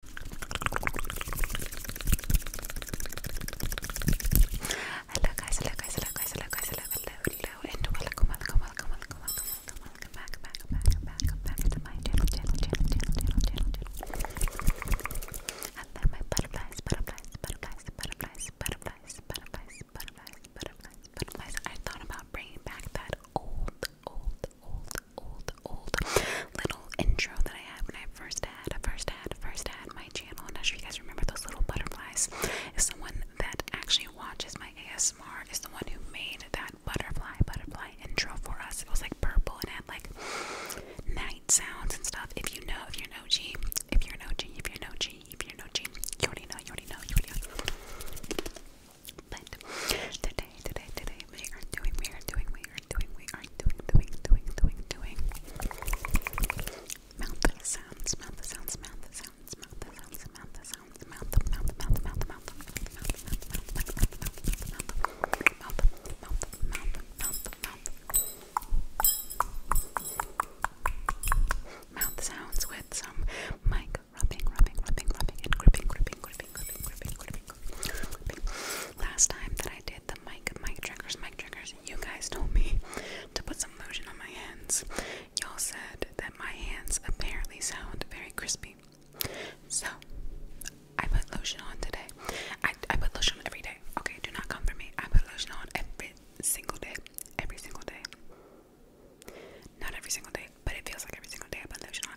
Hello guys, hello guys, hello guys, hello guys, hello, hello, hello, and welcome, welcome, welcome, welcome, welcome, welcome, welcome back, back, back, back, back to my channel, channel, channel, channel, channel, channel, channel. Hello my butterflies, butterflies, butterflies, butterflies, butterflies, butterflies, butterflies, butterflies, butterflies. I thought about bringing back that old, old, old, old, old little intro that I had when I first had, first had, first had my channel. I'm not sure you guys remember those little butterflies. the one that actually watches my ASMR It's the one who made that butterfly, butterfly intro for us. It was like purple and had like night sounds and stuff. If you know, if you're an OG, if you're an OG, if you're an OG, if you're an OG, you already know, you already know, you already know. But today, today, today, we are doing, we are doing, we doing, doing, doing, doing, doing, doing mouth sounds, mouth sounds, mouth sounds, mouth sounds, mouth sounds, mouth, mouth, mouth, mouth, mouth, mouth, mouth, mouth, mouth, mouth sounds with some mic rubbing, rubbing, rubbing, rubbing, and gripping, gripping, gripping. Last time that I did the mic, mic triggers, mic triggers, you guys told me to put some lotion on my hands. Y'all said that my hands apparently sound very crispy. So, I put lotion on today. I, I put lotion on every day. Okay, do not come for me. I put lotion on every single day. Every single day. Not every single day, but it feels like every single day I put lotion on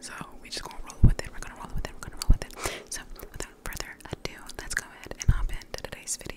so we just gonna roll with it. We're gonna roll with it. We're gonna roll with it. So without further ado, let's go ahead and hop into today's video.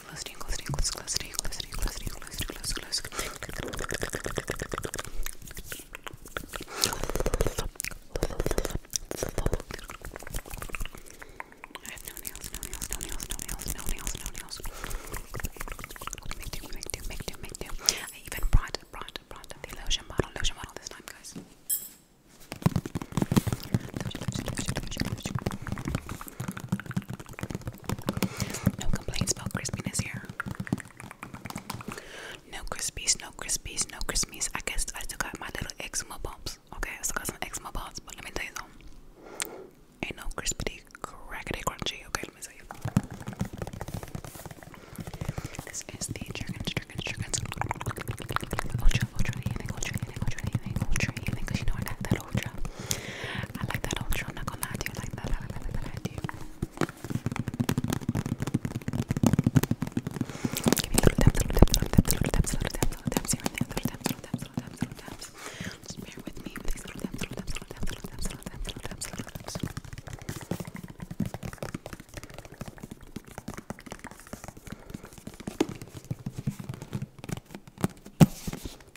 really close to you, close to you, close to you, close to you, close to you, close to you, close to you, close to you, I have no nails, no nails, no nails, no nails, no nails, no nails. Make do, make do, make do, make do. I even brought, brought, brought the lotion bottle, lotion bottle this time, guys. Lotion, lotion, lotion, lotion, lotion. No complaints about crispiness here. No crispies, no crispies, no crispies. I guess I still got my little eczema bumps. Okay, I still got some eczema bumps, but let me tell you something. Ain't no crispity, crackety, crunchy. Okay, let me tell This is the that I like that ultra. I'm gonna lie to you. I like I like I like Give me little taps, little taps, little taps, little taps, little taps, little taps here and there. Little taps, little taps, little taps, little taps. Just bear with me with these little taps, little taps, little taps, little taps, little taps, little taps, little taps. Little taps.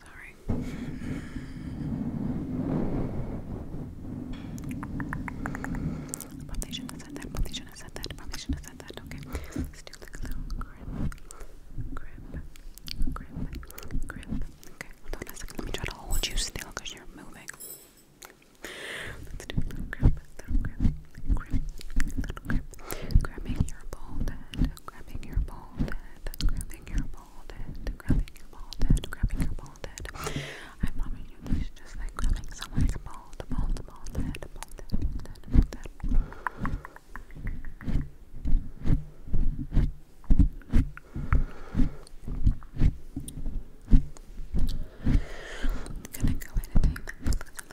Sorry. Probably shouldn't have said that. Probably shouldn't have said that. Probably shouldn't have said that. Okay. Let's do like a little grip. Grip. Grip. Grip. Okay. Hold on a second. Let me try to hold you still because you're moving. Let's do a little grip. Little grip. Grip. Little grip. Grabbing your bald head grabbing your bald head, grabbing your bald head, grabbing your bald head, grabbing your bald head. I promise you, just like grabbing someone's bald, bald, bald head, bald head, head, head. I'm gonna go ahead and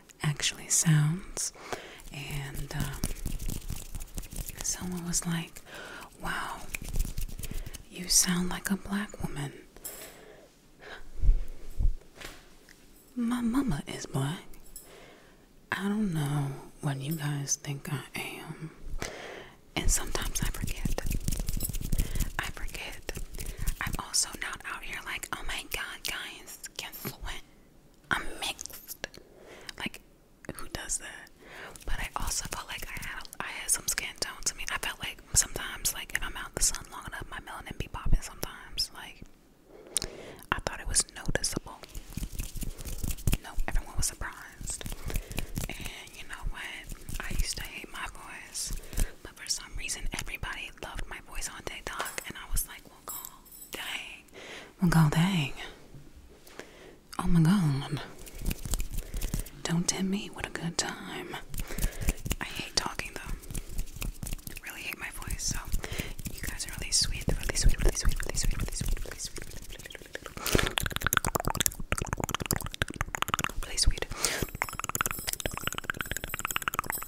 actually sounds. And um, someone was like, Wow, you sound like a black woman. My mama is black. I don't know what you guys think I am. And sometimes I forget. I forget. I'm also not out here like, oh my god, guys, is confluent. I'm mixed. Like, who does that? But I also felt like I had I had some skin tones. I mean, I felt like sometimes, like if I'm out in the sun long enough, my melanin be popping. Sometimes, like I thought it was noticeable. No, everyone was surprised. And you know what? I used to hate my voice, for some reason everybody loved my voice on TikTok, and I was like, "Well, call dang, well, call dang." Oh my god. Don't tell me, what a good time. I hate talking though. Really hate my voice, so you guys are really sweet, really sweet, really sweet, really sweet, really sweet, really sweet, really sweet. Really sweet.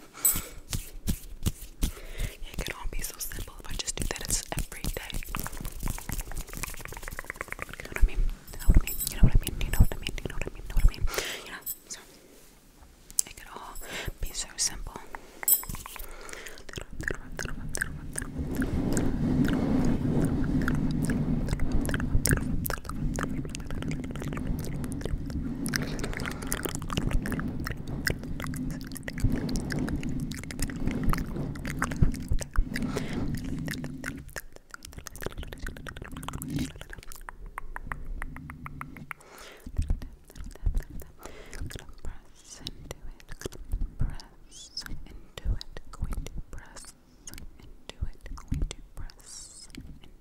It could all be so simple if I just do that. It's every day. You know what I mean? You know what I mean? You know what I mean? You know what I mean? You know what I mean? You know So it could all be so simple press into it, press into it, going to press into it, going to press into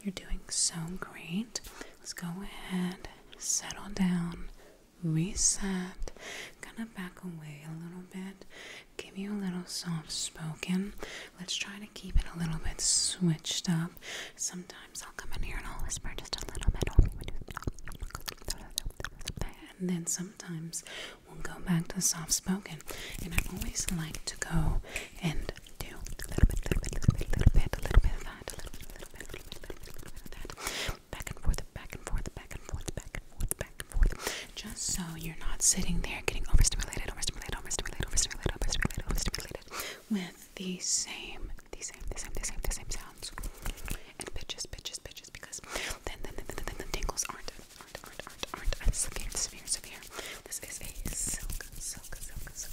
You're doing so great. Let's go ahead, settle down reset. Kind of back away a little bit, give you a little soft spoken. Let's try to keep it a little bit switched up. Sometimes I'll come in here and I'll whisper just a little bit. And then sometimes we'll go back to soft spoken. And I always like to go and do a little bit, little bit, little little bit, a little bit of that, Back and forth, back and forth, back and forth, back and forth, back and forth. Just so you're not sitting there getting overstimulated, overstimulated, overstimulated, overstimulated, overstimulated, overstimulated with the same, the same, the same, the same, the same sounds and pitches, pitches, pitches, because then, then, then, then, then the tingles aren't, aren't, aren't, aren't, aren't severe, severe, severe. This is a silk, silk, silk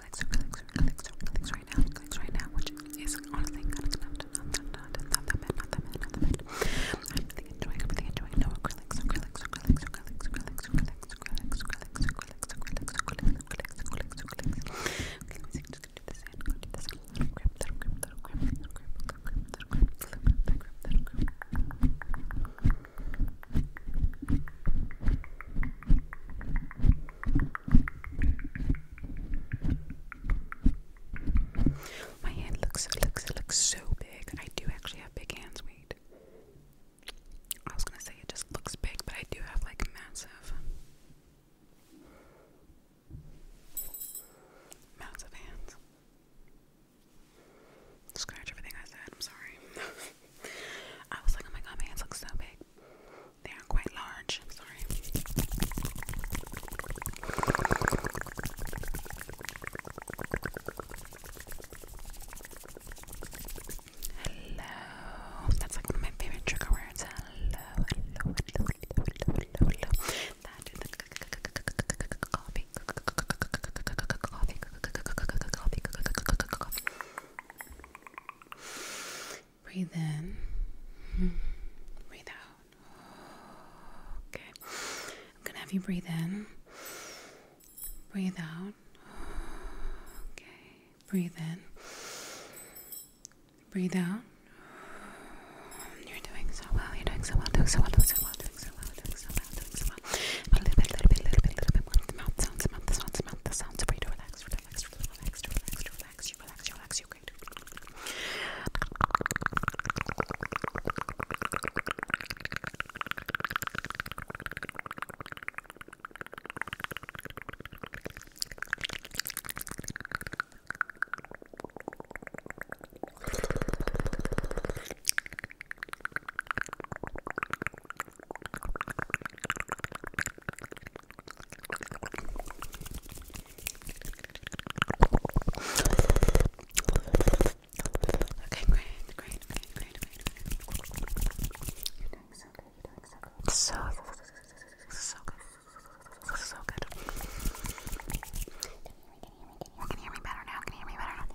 relax, relax, right now, right now, which is honestly my hand looks looks looks so big. I do actually have big hands. Wait, I was gonna say it just looks big, but I do have like massive, massive hands. Scratch everything I said. I'm sorry. I was like, oh my god, my hands look so big. They are quite large. sorry. Hello. That's like my favorite trigger words. Hello, Breathe in. Breathe out. Okay. I'm going to have you breathe in. Breathe out. Okay. Breathe in. Breathe out. You're doing so well. You're doing so well. Doing so well. Doing so well. Doing so well. Doing so well. Doing so well. But a little bit, little bit, little bit, little bit more. The sounds, the mouth, the sounds, the sounds. For you to relax, relax, relax, relax, relax, you relax, you relax, you great. Okay, great, great, great, great, great. You're doing so good. You're doing so good. So, so good. So good. Can you hear me? Can you hear me? Can you hear me better now? Can you hear me better now?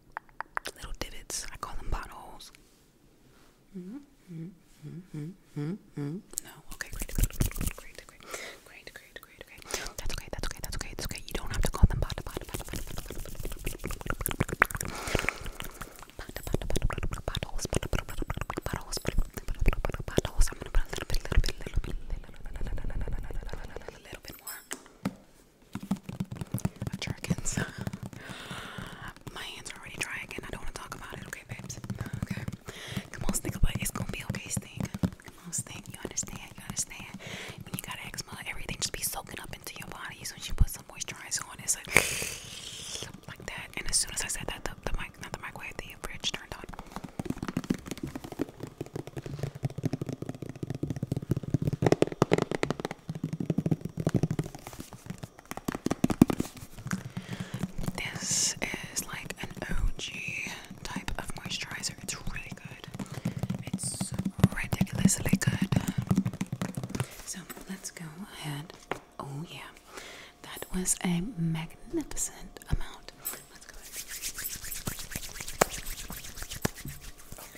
little divots. I call them potholes. No, okay, great, great, great, great, great, great, great, great, That's okay, that's okay, that's okay, it's okay. You don't have to call them pot, pot, pot, pot, pot, pot, pot, potholes, potholes, potholes. I'm gonna put a little bit, little bit, little bit, little bit, little bit, little bit, little bit more. My hands are already dry again. I don't want to talk about it, okay, babes? Okay. Come on, think about it. It's gonna be okay, Stink. Come on, Stink. You understand? You understand? When you got eczema, everything just be soaking up into your body. So when you put some moisturizer on, it's like like that. And as soon as I said that, the, the mic, not the microwave, the fridge turned on. This is like an OG type of moisturizer. It's really good. It's ridiculously good. So let's go ahead. Oh yeah. That was a magnificent amount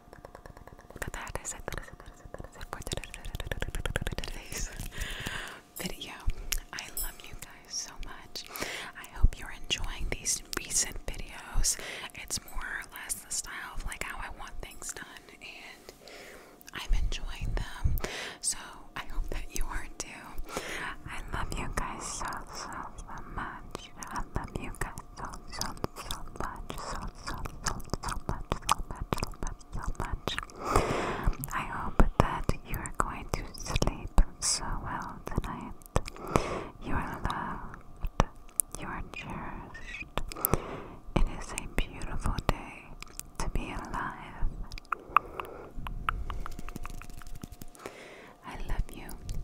for today's video. I love you guys so much. I hope you're enjoying these recent videos. It's more or less the style of like how I want things done, and I'm enjoying them. So I hope that you are too. I love you guys so so so much. I love you guys so so so much, so, so, so, much, so much, so much. I hope that you are going to sleep so well tonight. You are loved, you are cherished. It is a beautiful day to be alive. I love you